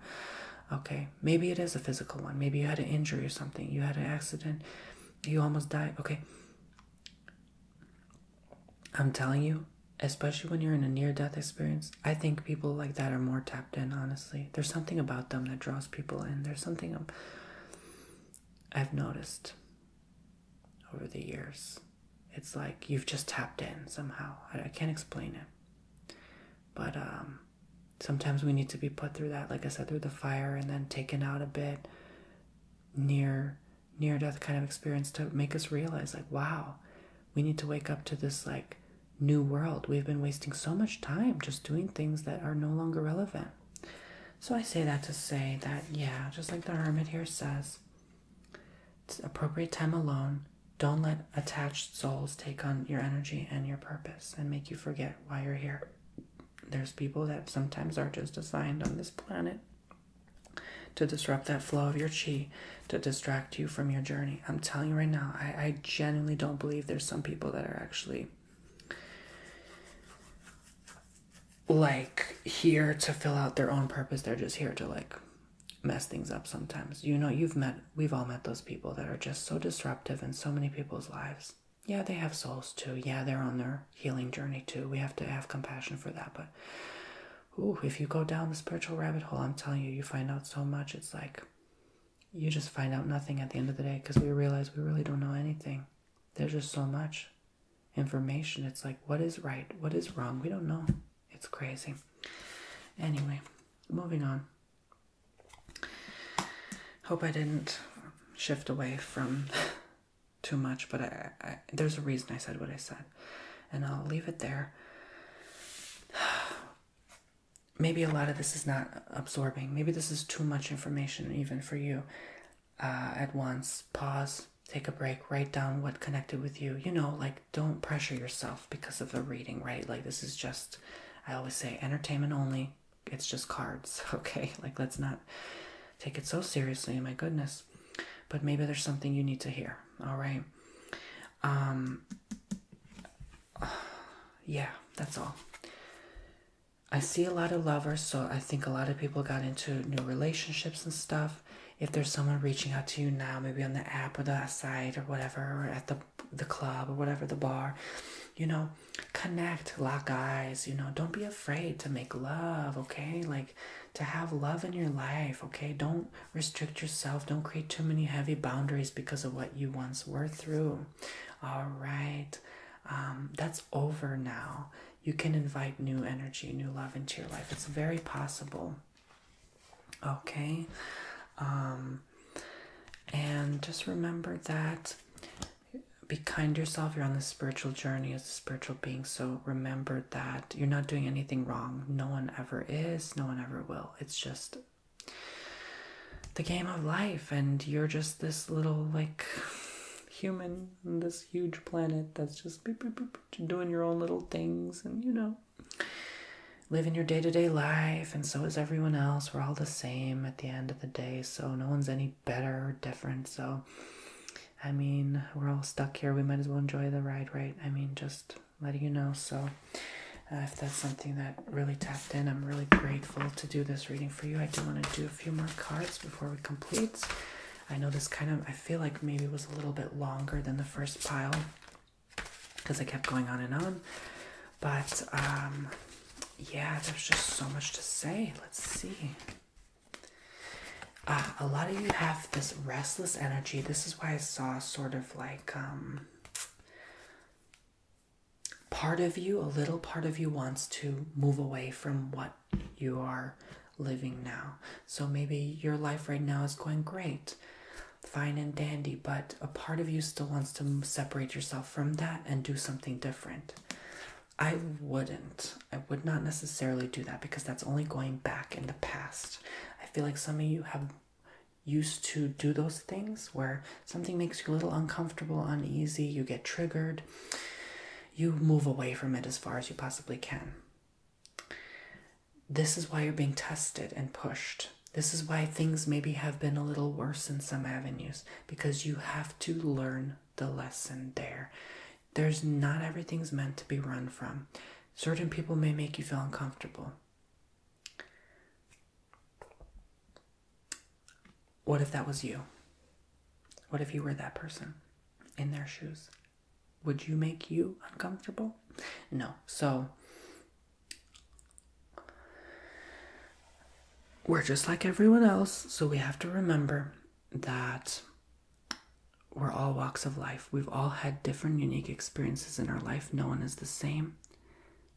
Okay, maybe it is a physical one. Maybe you had an injury or something. You had an accident. You almost died. Okay. I'm telling you, especially when you're in a near death experience, I think people like that are more tapped in, honestly. There's something about them that draws people in. There's something i have noticed over the years. It's like you've just tapped in somehow. I can't explain it. But um, sometimes we need to be put through that, like I said, through the fire and then taken out a bit near near death kind of experience to make us realize like wow we need to wake up to this like new world we've been wasting so much time just doing things that are no longer relevant so i say that to say that yeah just like the hermit here says it's appropriate time alone don't let attached souls take on your energy and your purpose and make you forget why you're here. There's people that sometimes are just assigned on this planet to disrupt that flow of your chi, to distract you from your journey. I'm telling you right now, I, I genuinely don't believe there's some people that are actually like here to fill out their own purpose. They're just here to like mess things up sometimes. You know, you've met, we've all met those people that are just so disruptive in so many people's lives. Yeah, they have souls too. Yeah, they're on their healing journey too. We have to have compassion for that. But ooh, if you go down the spiritual rabbit hole, I'm telling you, you find out so much. It's like you just find out nothing at the end of the day because we realize we really don't know anything. There's just so much information. It's like, what is right? What is wrong? We don't know. It's crazy. Anyway, moving on. Hope I didn't shift away from <laughs> too much, but I, there's a reason I said what I said, and I'll leave it there. <sighs> Maybe a lot of this is not absorbing. Maybe this is too much information, even for you. Uh, at once, pause, take a break, write down what connected with you. You know, like don't pressure yourself because of the reading, right? Like this is just I always say entertainment only. It's just cards, <laughs> okay? Like let's not take it so seriously, my goodness. But maybe there's something you need to hear. All right. Um <sighs> yeah, that's all. I see a lot of lovers, so I think a lot of people got into new relationships and stuff. If there's someone reaching out to you now, maybe on the app or the site or whatever, or at the the club or whatever the bar you know connect lock eyes you know don't be afraid to make love okay like to have love in your life okay don't restrict yourself don't create too many heavy boundaries because of what you once were through all right um, that's over now you can invite new energy new love into your life it's very possible Okay, um, and just remember that be kind yourself. You're on the spiritual journey as a spiritual being, so remember that you're not doing anything wrong. No one ever is, no one ever will. It's just the game of life, and you're just this little like human on this huge planet that's just doing your own little things, and you know living your day to day life, and so is everyone else. We're all the same at the end of the day, so no one's any better or different. So, I mean, we're all stuck here. We might as well enjoy the ride, right? I mean, just letting you know. So, uh, if that's something that really tapped in, I'm really grateful to do this reading for you. I do want to do a few more cards before we complete. I know this kind of, I feel like maybe was a little bit longer than the first pile because I kept going on and on. But um, yeah, there's just so much to say. Let's see. Uh, a lot of you have this restless energy. This is why I saw sort of like um, part of you, a little part of you wants to move away from what you are living now. So maybe your life right now is going great fine and dandy, but a part of you still wants to separate yourself from that and do something different. I wouldn't. I would not necessarily do that because that's only going back in the past. I feel like some of you have used to do those things where something makes you a little uncomfortable, uneasy, you get triggered, you move away from it as far as you possibly can this is why you're being tested and pushed. This is why things maybe have been a little worse in some avenues because you have to learn the lesson there. There's not everything's meant to be run from. Certain people may make you feel uncomfortable. What if that was you? What if you were that person in their shoes? Would you make you uncomfortable? No. So we're just like everyone else, so we have to remember that we're all walks of life. We've all had different, unique experiences in our life. No one is the same.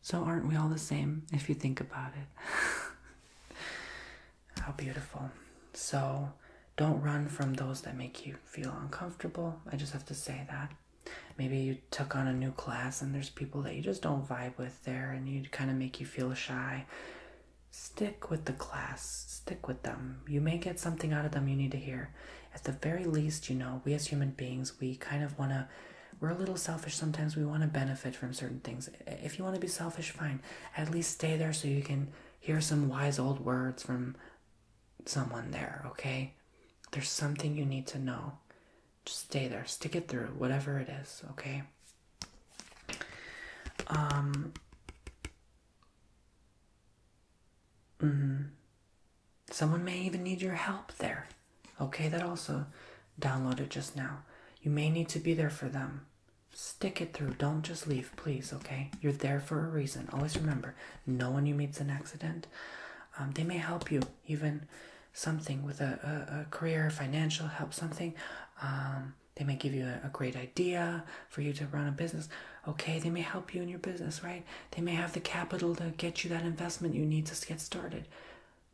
So, aren't we all the same if you think about it? <laughs> How beautiful. So, don't run from those that make you feel uncomfortable. I just have to say that maybe you took on a new class and there's people that you just don't vibe with there and you kind of make you feel shy stick with the class stick with them you may get something out of them you need to hear at the very least you know we as human beings we kind of want to we're a little selfish sometimes we want to benefit from certain things if you want to be selfish fine at least stay there so you can hear some wise old words from someone there okay there's something you need to know just stay there, stick it through, whatever it is, okay? Um, mm-hmm. someone may even need your help there, okay? That also downloaded just now. You may need to be there for them. Stick it through, don't just leave, please, okay? You're there for a reason. Always remember no one you meet's an accident. Um, they may help you even something with a, career, financial help, something. Um, they may give you a great idea for you to run a business. Okay, they may help you in your business, right? They may have the capital to get you that investment you need to get started.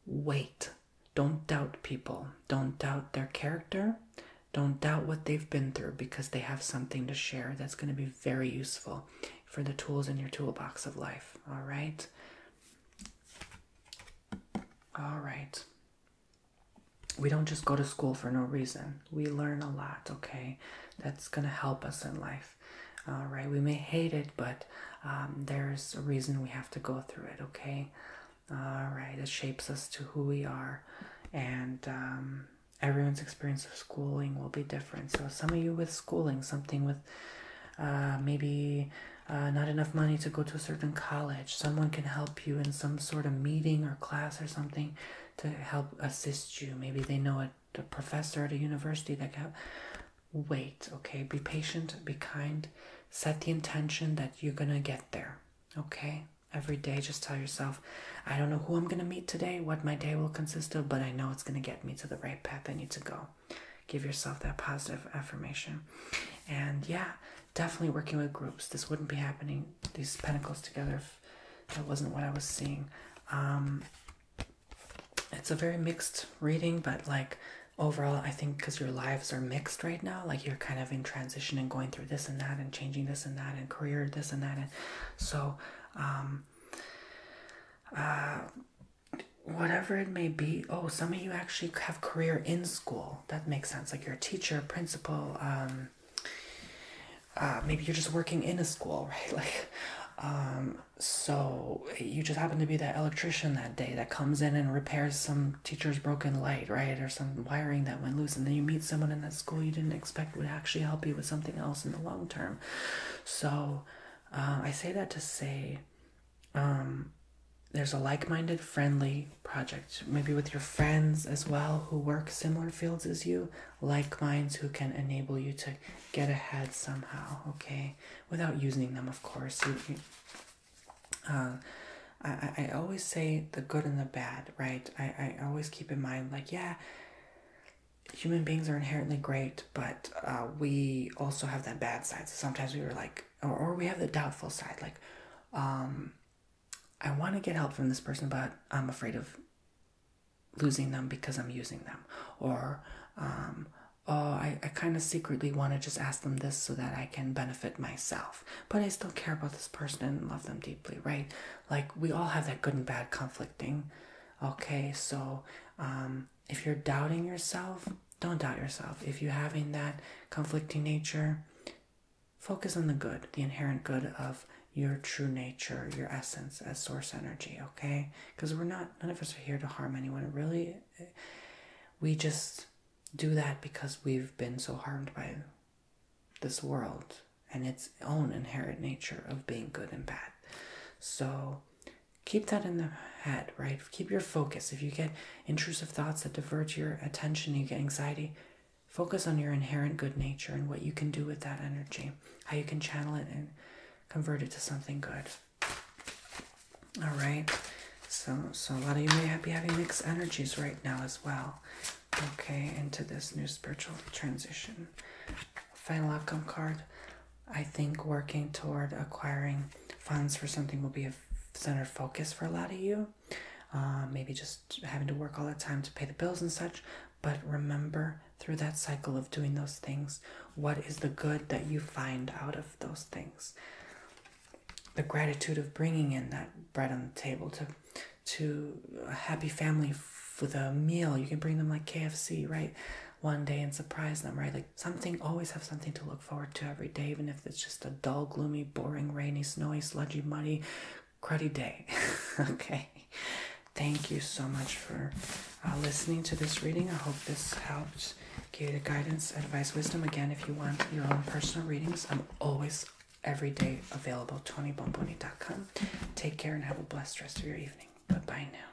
Wait. Don't doubt people. Don't doubt their character. Don't doubt what they've been through because they have something to share that's going to be very useful for the tools in your toolbox of life. All right. All right. We don't just go to school for no reason. We learn a lot, okay? That's going to help us in life. All right. We may hate it, but um, there's a reason we have to go through it, okay? All right. It shapes us to who we are. And, um, everyone's experience of schooling will be different. So, some of you with schooling, something with uh, maybe uh, not enough money to go to a certain college. Someone can help you in some sort of meeting or class or something to help assist you. Maybe they know a, professor at a university that can Wait, okay? Be patient, be kind, set the intention that you're gonna get there, okay? Every day, just tell yourself, I don't know who I'm gonna meet today, what my day will consist of, but I know it's gonna get me to the right path I need to go give yourself that positive affirmation. And yeah, definitely working with groups. This wouldn't be happening, these pentacles together, that wasn't what I was seeing. Um, it's a very mixed reading, but like overall, I think because your lives are mixed right now, like you're kind of in transition and going through this and that and changing this and that and career this and that. And so, um, uh, whatever it may be. Oh, some of you actually have career in school. That makes sense. Like you're a teacher, principal. Um, uh, maybe you're just working in a school, <laughs> right? Like, um, so you just happen to be that electrician that day that comes in and repairs some teacher's broken light, right? Or some wiring that went loose. And then you meet someone in that school you didn't expect would actually help you with something else in the long term. So, uh, I say that to say um, there's a like minded, friendly project, maybe with your friends as well who work similar fields as you, like minds who can enable you to get ahead somehow, okay? Without using them, of course. You, uh, I, always say the good and the bad, right? I always keep in mind, like, yeah, human beings are inherently great, but uh, we also have that bad side. So sometimes we were like, or, we have the doubtful side, like, um, I want to get help from this person, but I'm afraid of losing them because I'm using them. Or, um, oh, I, kind of secretly want to just ask them this so that I can benefit myself. But I still care about this person and love them deeply, right? Like, we all have that good and bad conflicting. Okay, so um, if you're doubting yourself, don't doubt yourself. If you're having that conflicting nature, focus on the good, the inherent good of your true nature, your essence as source energy, okay? Because we're not, none of us are here to harm anyone. Really, we just do that because we've been so harmed by this world and its own inherent nature of being good and bad. So keep that in the head, right? Keep your focus. If you get intrusive thoughts that divert your attention, you get anxiety, focus on your inherent good nature and what you can do with that energy, how you can channel it and convert it to something good. All right. So, so a lot of you may be having mixed energies right now as well. Okay, into this new spiritual transition. Final outcome card. I think working toward acquiring funds for something will be a center focus for a lot of you. Uh, maybe just having to work all the time to pay the bills and such. But remember through that cycle of doing those things, what is the good that you find out of those things? The gratitude of bringing in that bread on the table to to a happy family with a meal. You can bring them like KFC, right? one day and surprise them, right? Like something, always have something to look forward to every day, even if it's just a dull, gloomy, boring, rainy, snowy, sludgy, muddy, cruddy day. <laughs> okay. Thank you so much for uh, listening to this reading. I hope this helped give you the guidance, advice, wisdom. Again, if you want your own personal readings, I'm always every day available. TonyBomboni.com. Take care and have a blessed rest of your evening. Bye bye now.